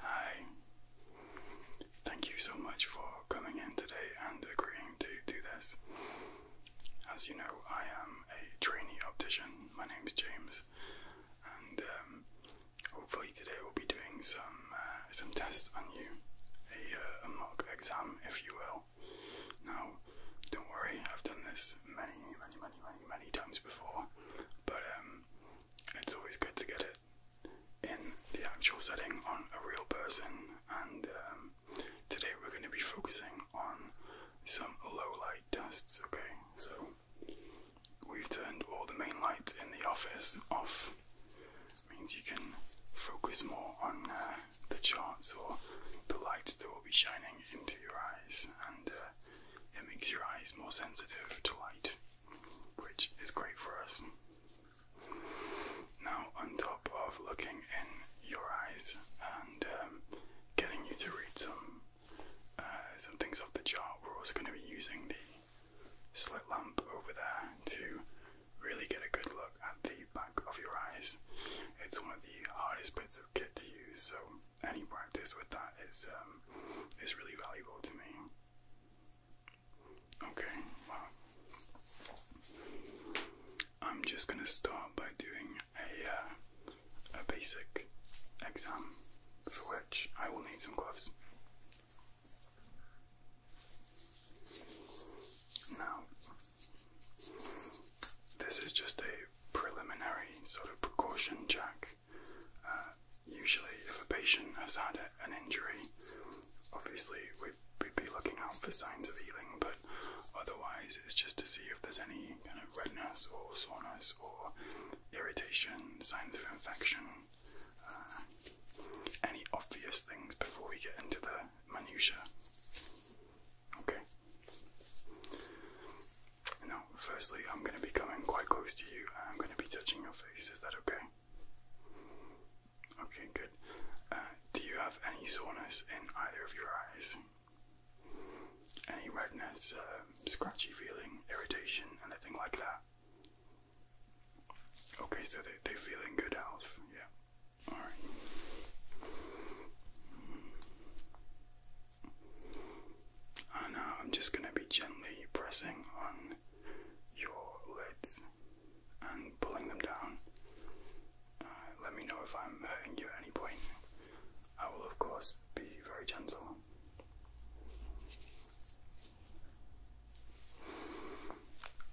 Hi. Thank you so much for coming in today and agreeing to do this. As you know, I am a trainee optician. My name is James, and um, hopefully today we'll be doing some uh, some tests on you, uh, a, mock exam, if you will. Now, don't worry, I've done this many, many, many, many times before, but um, it's always good to get it in the actual setting on a real person. And um, today we're going to be focusing on some low light tests, okay? So we've turned all the main lights in the office off, means you can focus more on uh, the charts or the lights that will be shining into your eyes and. Uh, it makes your eyes more sensitive to light, which is great for us. Now, on top of looking in your eyes and um, getting you to read some uh, some things off the chart, we're also going to be using the slit lamp over there to really get a good look at the back of your eyes. It's one of the hardest bits of kit to use, so any practice with that is um, is really valuable to me. Okay, well, I'm just gonna start by doing a uh, a basic exam for which I will need some gloves. Now, this is just a preliminary sort of precaution check uh, usually, if a patient has had an injury, obviously we'd, be looking out for signs of healing, but otherwise, it's just to see if there's any kind of redness or soreness or irritation, signs of infection, uh, any obvious things before we get into the minutiae. Okay. Now, firstly, I'm going to be coming quite close to you and I'm going to be touching your face. Is that okay? Okay, good. Uh, do you have any soreness in either of your eyes? Any redness, um, scratchy feeling, irritation, anything like that? Okay, so they, they feeling good health, yeah. Alright. And I'm just going to be gently pressing on your lids and pulling them down. Uh, let me know if I'm hurting you at any point. I will, of course, be very gentle.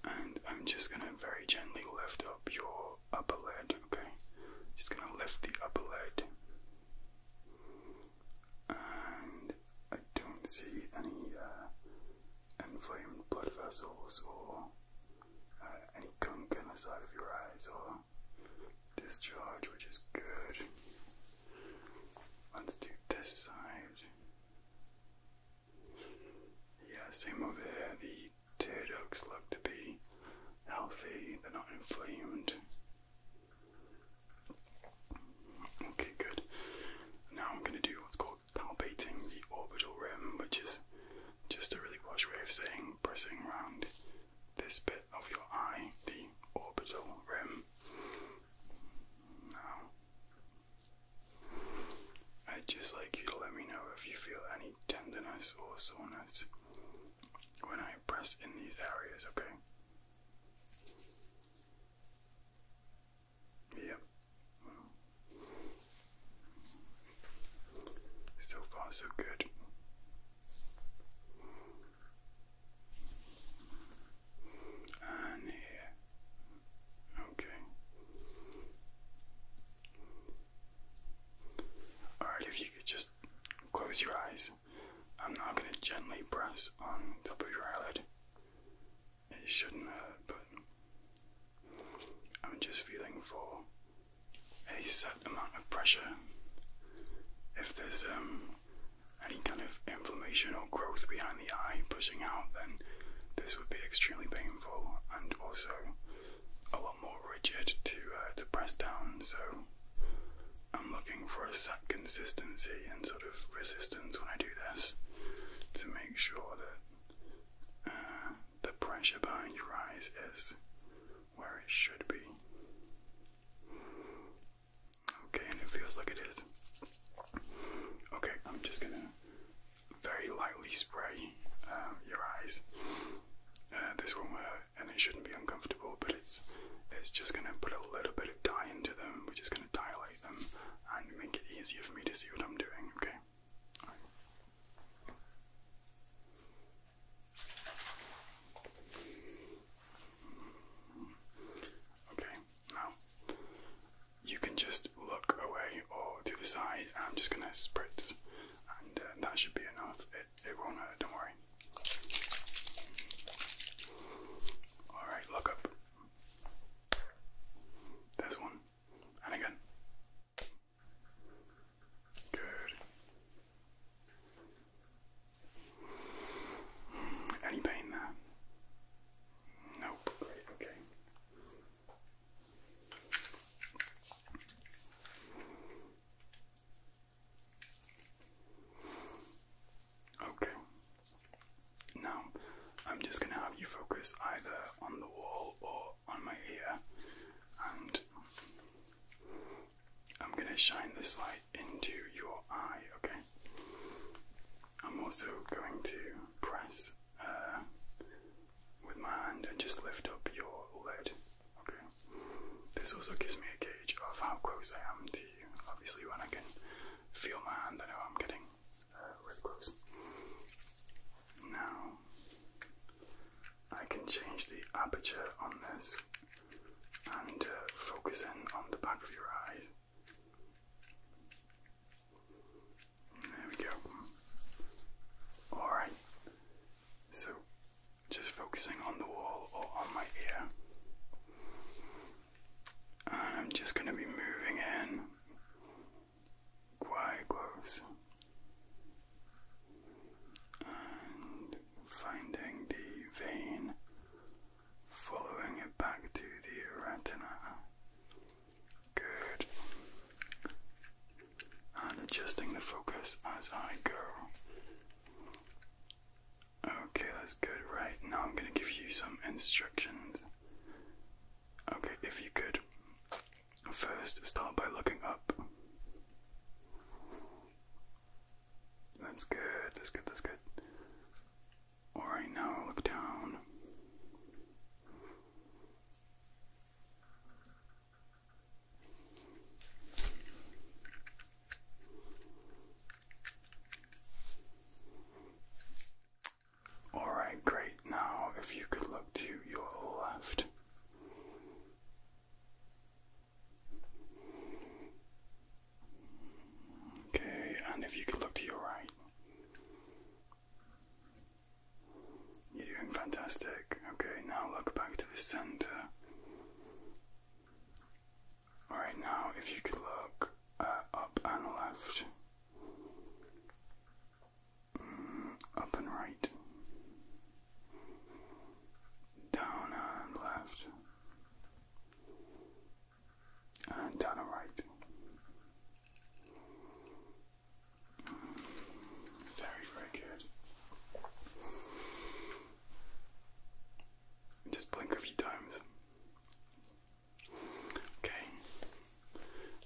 And I'm just going to very gently lift up your upper lid, okay? Just going to lift the upper lid and I don't see any uh, inflamed blood vessels or uh, any gunk on the side of your eyes or discharge, which is good. Let's do this side. Yeah, same over here. The tear ducts look to be healthy, they're not inflamed. Okay, good. Now I'm going to do what's called palpating the orbital rim, which is just a really posh way of saying pressing around this bit of your eye, the orbital rim. Now, I'd just like you to let me know if you feel any tenderness or soreness when I press in these areas, okay? Yep. So far, so good. And here. Okay. Alright, if you could just close your eyes. I'm now going to gently press on top of your eyelid. It shouldn't hurt, but I'm just feeling for a set amount of pressure. If there's um, any kind of inflammation or growth behind the eye pushing out, then this would be extremely painful and also a lot more rigid to uh, to press down. So I'm looking for a set consistency and sort of resistance when I do this to make sure that uh, the pressure behind your eyes is where it should be. Okay, and it feels like it is. Okay, I'm just gonna very lightly spray uh, your eyes uh, this won't hurt and it shouldn't be uncomfortable, but it's it's just going to put a little bit of dye into them, which is going to dilate them and make it easier for me to see what I'm doing, okay? Okay, now you can just look away or to the side. I'm just going to spritz, and uh, that should be enough it, it don't worry. Alright, look up. There's one. And again. Good. Any pain there? Nope. Great, okay. Okay. Now, I'm just going to have you focus either on the wall or on my ear, and I'm going to shine this light into your eye, okay? I'm also going to press uh, with my hand and just lift up your lid. Okay. This also gives me a gauge of how close I am to you. Obviously, when I can feel my hand, I know I'm getting uh, really close. Now, I can change the aperture on this and uh, focus in on the back of your eyes. There we go. Alright, so, just focusing on the wall or on my ear. And I'm just going to be moving in quite close and finding the vein, following it back to the retina. Good and adjusting the focus as I go. Okay, that's good. Right, now I'm going to give you some instructions. Okay, if you could first start by looking up. That's good, that's good, that's good. Alright, now look down. All right, great. Now, if you could look to your left. Okay, and if you could look to your right. You're doing fantastic. Okay, now look back to the center. Alright, now if you could look uh, up and left, mm, up and right, down and left, and down and right. Very, very good. Just blink a few times. Okay.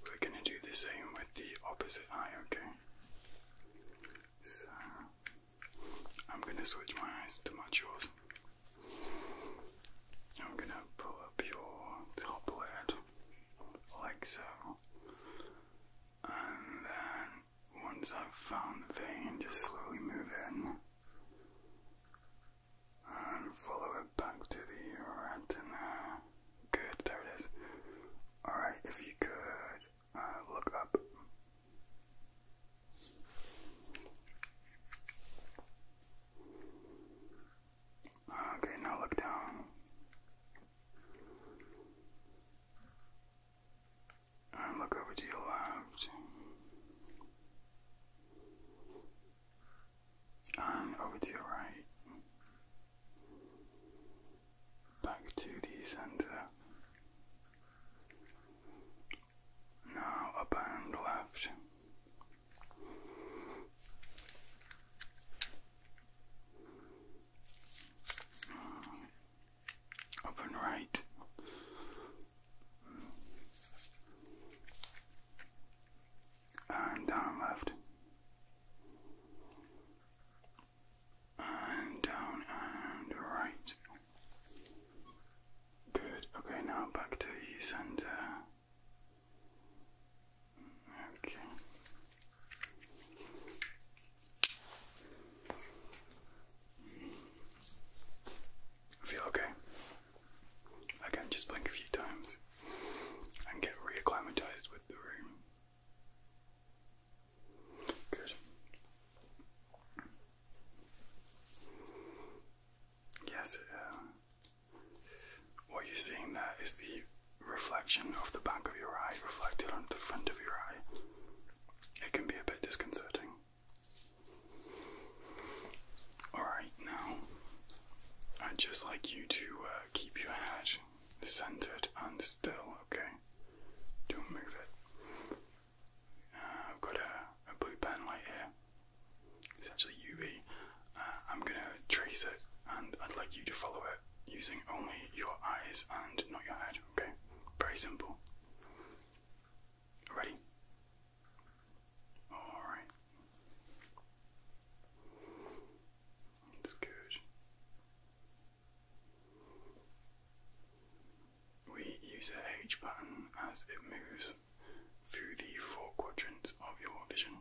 We're going to do the same with the opposite eye, okay? So, I'm going to switch my eyes to match yours. I'm going to pull up your top lid, like so. And then once I've found the vein, just slowly move in and follow it back to the retina. Good, there it is. Alright, if you could uh, look up. Okay, now look down. And over to your left. And over to your right. Back to the center. Now up and left. Up and right. And down left. And down and right. Good. Okay, now back to center. Okay. Feel okay. Again, just blink a few times and get reacclimatized with the room. Good. Yes, uh, what you're seeing there is the reflection of the back of your eye reflected on the front of your eye, it can be a bit disconcerting. Alright, now I'd just like you to uh, keep your head centered and still, okay? Don't move it. Uh, I've got a, a blue pen light here. It's UV. I'm gonna trace it and I'd like you to follow it using only your eyes and not your head, okay? Very simple. Ready? Alright. That's good. We use a H pattern as it moves through the four quadrants of your vision.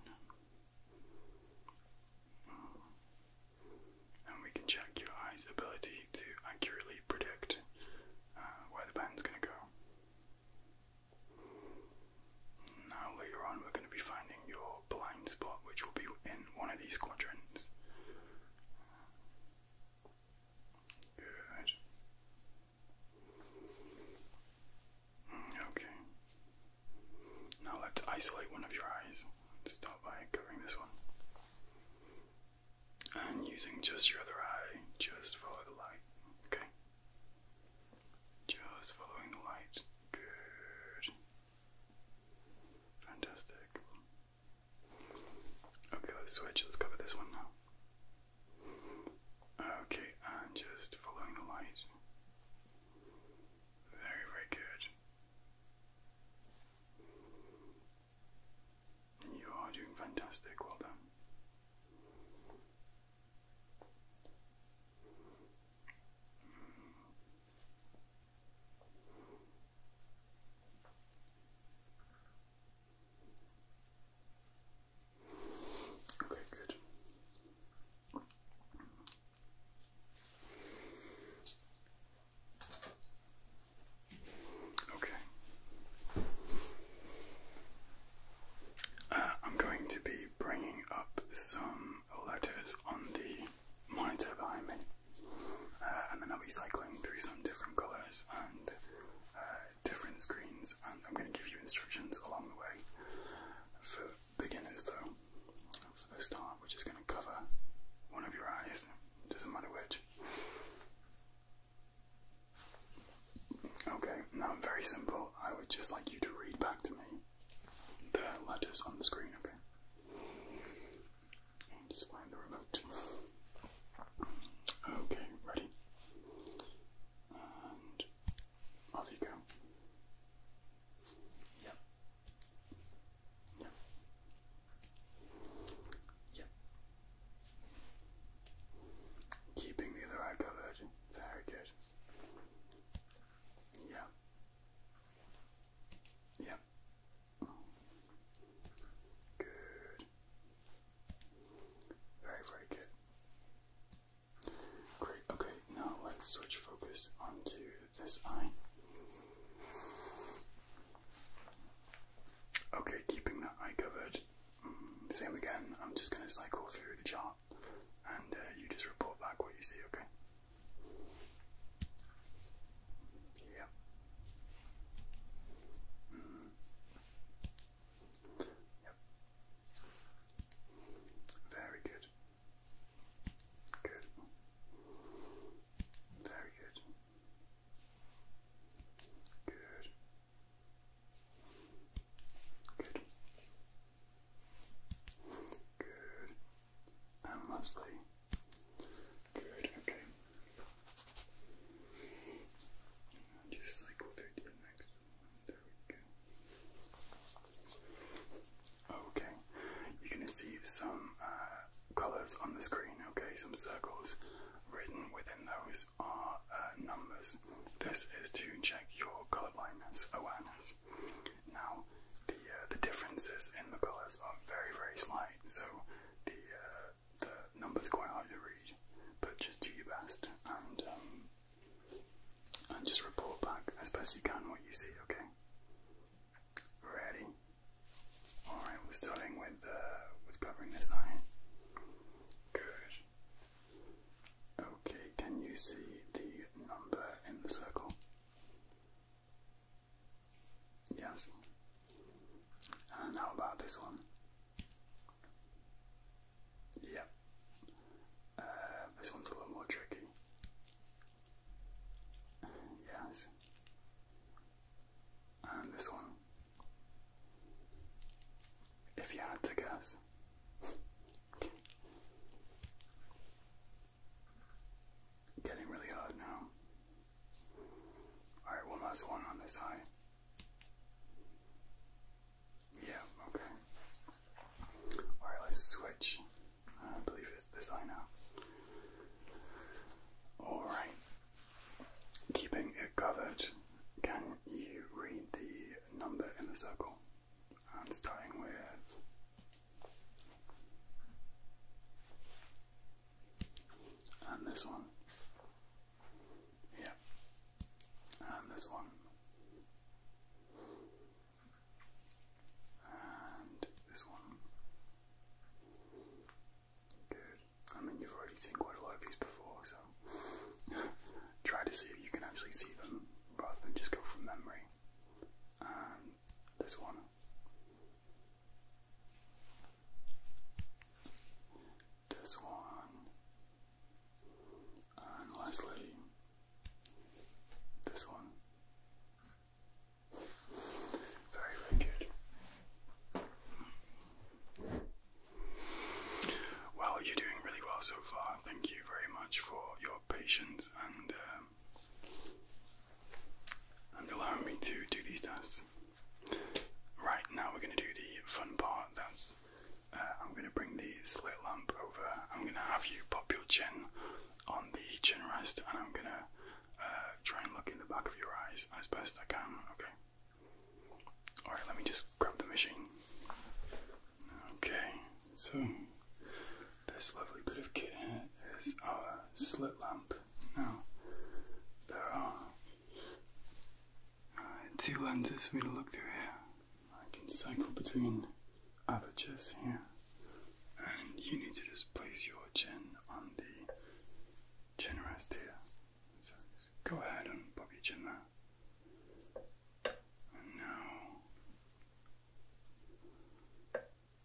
And we can check your eye's ability to accurately predict uh, where the pen's going to go. Now, later on, we're going to be finding your blind spot, which will be in one of these quadrants. Good. Okay. Now let's isolate one of your eyes. Let's start by covering this one. And using just your other eye, just follow the light. Okay. Just following the light. Good. Fantastic. Okay, let's switch. Let's cover this one now. Okay, and just following the light. Very, very good. You are doing fantastic. Well done. Okay, good. Okay. Uh, I'm going to be bringing up some letters on the monitor behind me, uh, and then I'll be cycling through some different colours and uh, different screens, and I'm going to give you instructions along the way. For beginners, though, for the start, we're just going to cover one of your eyes, doesn't matter which. Okay, now I'm very simple. I would just like you to read back to me the letters on the screen, okay? Just find the remote. Okay, ready? And off you go. Yep. Yep. Yep. Keeping the other eye Very good. Yeah. Yeah. Good. Very, very good. Great, okay, now let's switch focus onto this eye. Okay, keeping that eye covered. Mm, same again, I'm just going to cycle through the chart and uh, you just report back what you see, okay? Yeah. Mm-hmm. Yep. Very good. Good. Very good. Good. Good. Good. And lastly. Good, okay. just cycle through the next Okay, you're going to see some uh, colours on the screen, okay, some circles. Written within those are uh, numbers. This is to check your color blindness awareness. Now, the uh, the differences in the colours are very very slight, so the the numbers quite hard to read. But just do your best, and um, and just report back as best you can what you see, okay? Ready? Alright, we're starting with uh, with covering this eye. Good. Okay, can you see the number in the circle? Yes. And how about this one? Yeah. Uh, this one's a little more tricky. Yes. And this one. If you had to guess. Getting really hard now. Alright, one last one on this eye. Yeah, okay. Alright, let's switch. Uh, I believe it's this eye now. Alright. Keeping it covered, can you read the number in the circle? And starting with. And this one. Yeah. And this one. And this one. Good. I mean, you've already seen quite a lot of these before, so try to see if you can actually see them rather than just go from memory. And this one. This one. And lastly, this one. Very, very good. Well, you're doing really well so far. Thank you very much for your patience and um, and allowing me to do these tests. Right now, we're going to do the fun part. That's uh, I'm going to bring the slit lamp over. I'm going to have you pop your chin on the chin rest, and I'm going to uh, try and look in the back of your eyes as best I can. Okay. All right. Let me just grab the machine. Okay. So this lovely bit of kit here is our slit lamp. Now there are two lenses for me to look through here. I can cycle between apertures here, and you need to just place your chin on the chin rest here. So go ahead and pop your chin there. And now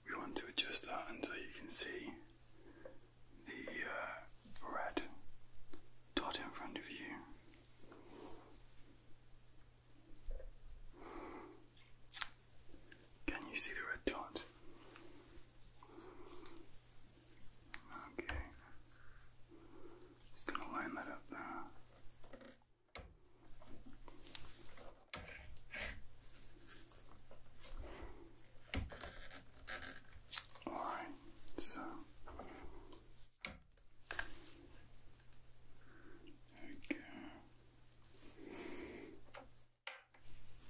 we want to adjust that until you can see the uh, red dot in front of you. Can you see the red dot? Okay. Just gonna line that up now. Alright, so there we go.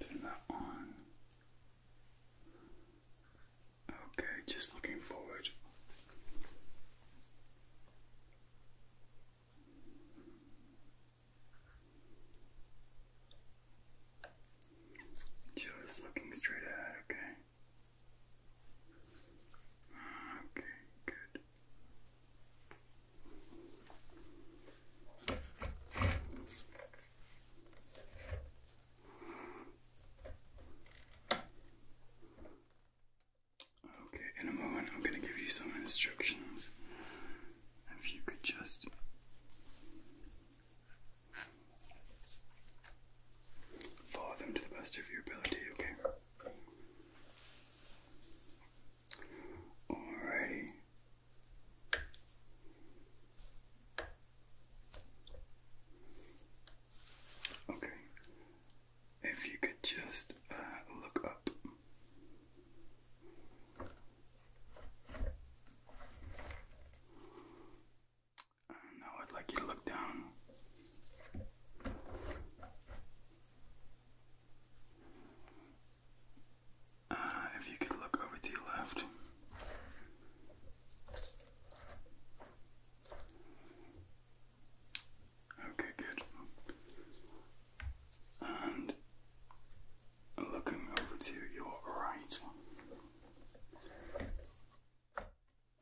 Turn that on. Okay, just looking forward. Just looking straight ahead, okay? Okay, good. Okay, in a moment I'm going to give you some instructions. If you could just Follow them to the best of your ability, okay? Alrighty. Okay. If you could just uh, look up now I'd like you to look down. Uh, if you could look over to your left. Okay, good. And looking over to your right.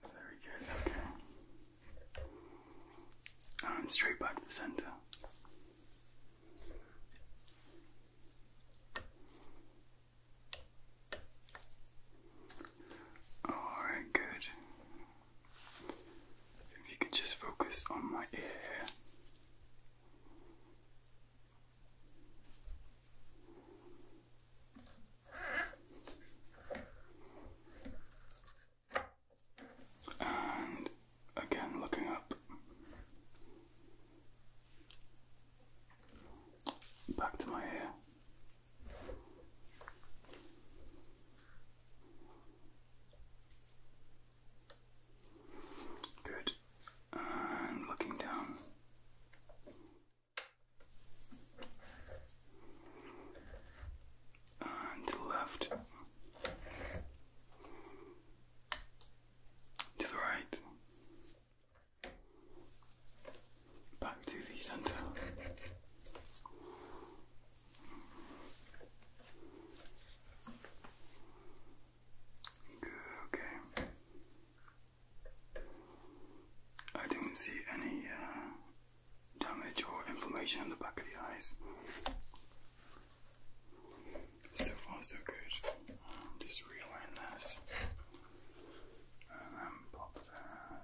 Very good, okay. Oh, and straight back to the center. Alright, good. If you could just focus on my ear. And again, looking up. Back to my ear. Good. And looking down and to the left, to the right, back to the center. Good, okay. I don't see any uh, damage or inflammation in the back of the eyes. So far, so good. Um, just realign this. Um, and pop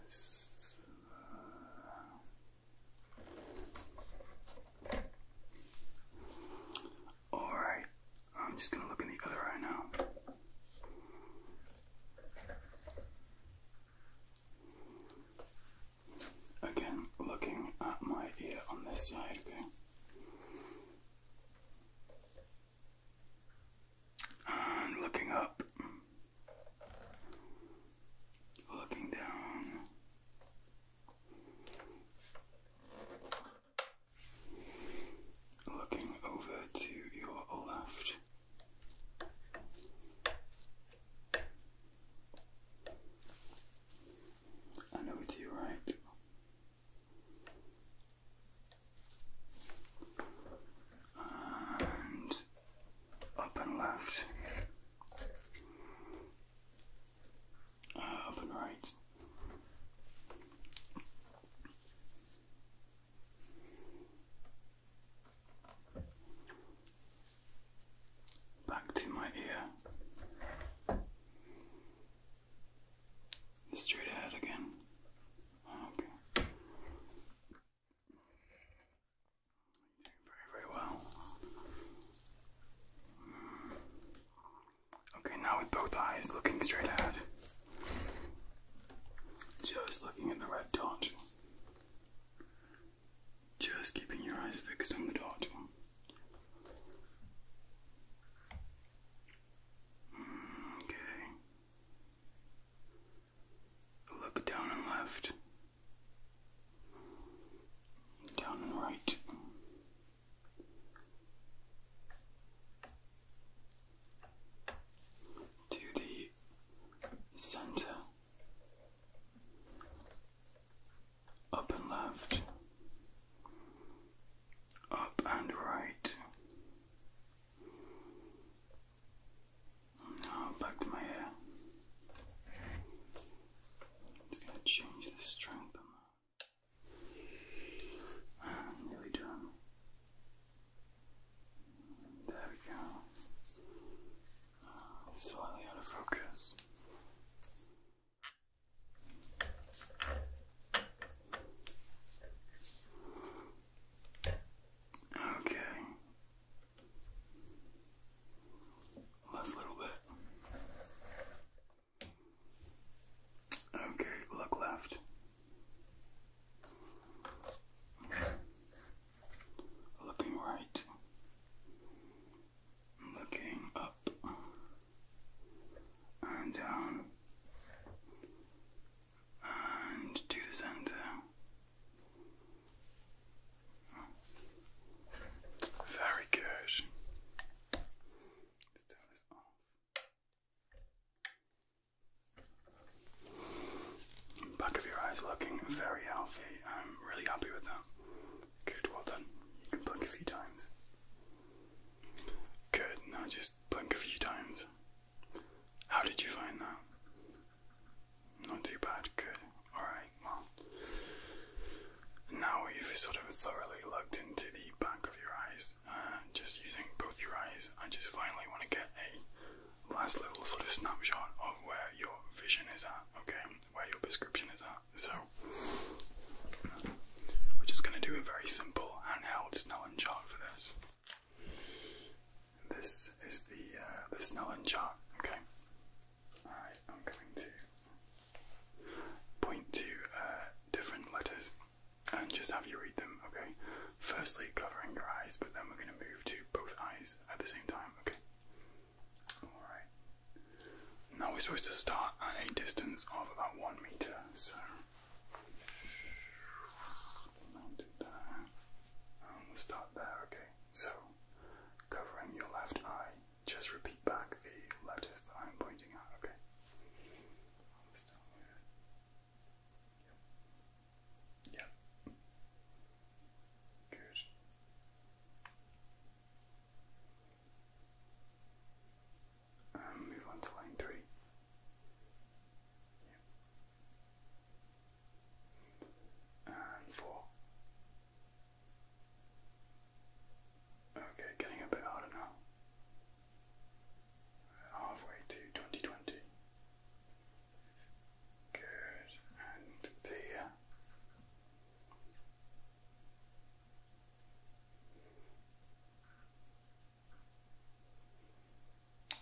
this. Uh, Alright, I'm just gonna look in the other eye now. Again, looking at my ear on this side, okay? And looking up, looking down looking over to your left. And to your right. And up and left. Uh, up and right. Back to my ear. Straight ahead again. Oh, okay. doing very, very well. Okay, now with both eyes looking straight ahead. Just looking at the red dot. Just keeping your eyes fixed on the dot. Okay. Look down and left. Down and right to the center, up and left, up and right. Now back to my hair. It's going change the strength Nearly done. There we go. Slightly out of focus. Okay. Last little bit. Okay, look left. Looking right. Looking up. And down. And to the center. Very good. turn this off. Back of your eyes looking very healthy. I'm really happy with that. Good, well done. You can blink a few times. Good, now just blink a few times. How did you find that? Not too bad, good. Alright, well. Now we've sort of thoroughly looked into the back of your eyes, this, uh, just using both your eyes, I just finally want to get a last little sort of snapshot of where your vision is at, okay? Where your prescription is at. So, we're just going to do a very simple handheld Snellen chart for this. This is the, uh, the Snellen chart, okay? Alright, I'm going to point to uh, different letters and just have you read them, okay? Firstly, covering your eyes, but then we're going to move to both eyes at the same time, okay? Alright. Now we're supposed to start at a distance of about one meter, so. we'll start there, okay? So, covering your left eye, just repeat back the letters that I'm pointing out, okay? All the Yep. Yep. Good. Um, move on to line three. And four. Okay, getting a bit harder now halfway to 2020. Good, and the uh,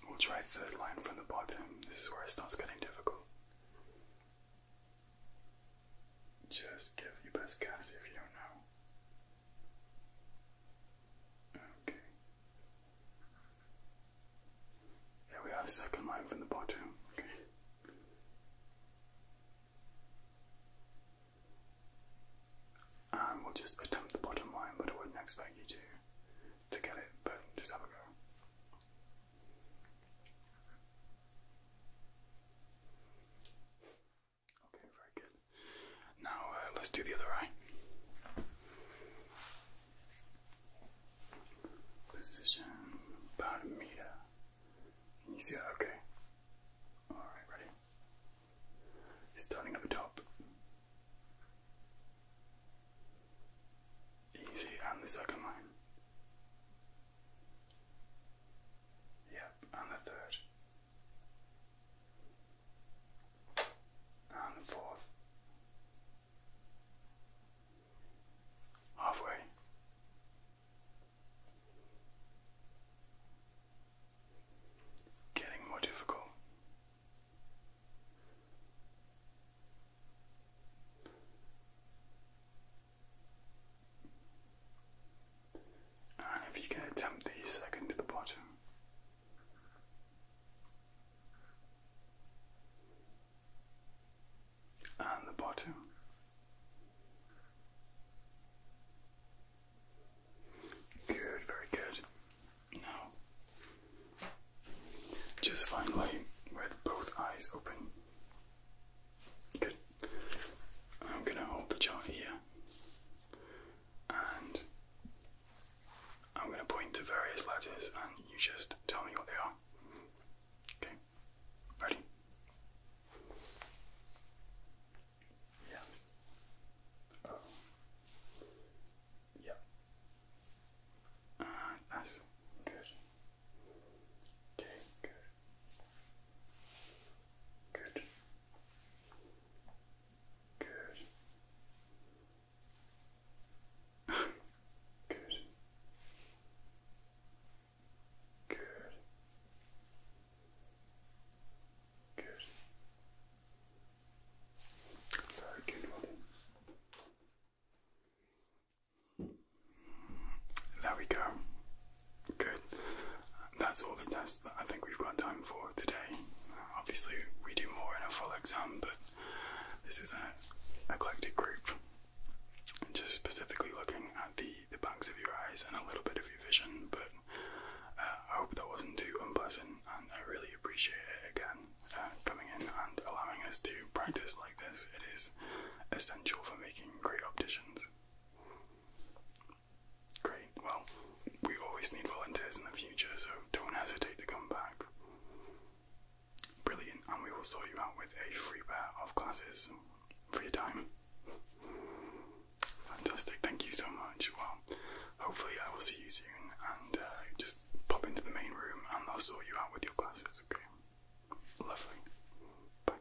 We'll try third line from the bottom. This is where it starts getting difficult. Just give your best guess if you don't know. Okay. There we are, second line from the bottom. Okay. And um, we'll just attempt the bottom line, but wouldn't expect you to to get it, but just have a go. Okay, very good. Now uh, let's do the other eye. Position about a meter. you see that? Okay. Alright, ready? Starting at the top. Easy, and the second line. Yep, and the third and forth. Halfway. Getting more difficult. And if you can attempt the second to the bottom, and the bottom. Good, very good. Now, just finally with both eyes open. Good. I'm going to hold the chart here and I'm going to point to various letters and you just tell me what they are. Okay, ready? Yes. Oh. Yeah. Uh, good. Okay, good. Good. Good. Good. Good. Good. Very good, well There we go. Good. That's all the tests that I think we've got time for today. obviously, we do more in a full exam, but this is an eclectic group. Just specifically looking at the, the backs of your eyes and a little bit of your vision, but uh, I hope that wasn't too unpleasant, and I really appreciate it again uh, coming in and allowing us to practice like this. It is essential for making great opticians. Great, well, we always need volunteers in the future, so don't hesitate to come back. Brilliant, and we will sort you out with a free pair of glasses for your time. Fantastic, thank you so much. Well, hopefully, I will see you soon and uh, just pop into the main room and they'll sort you out with your glasses, okay? Lovely. Bye.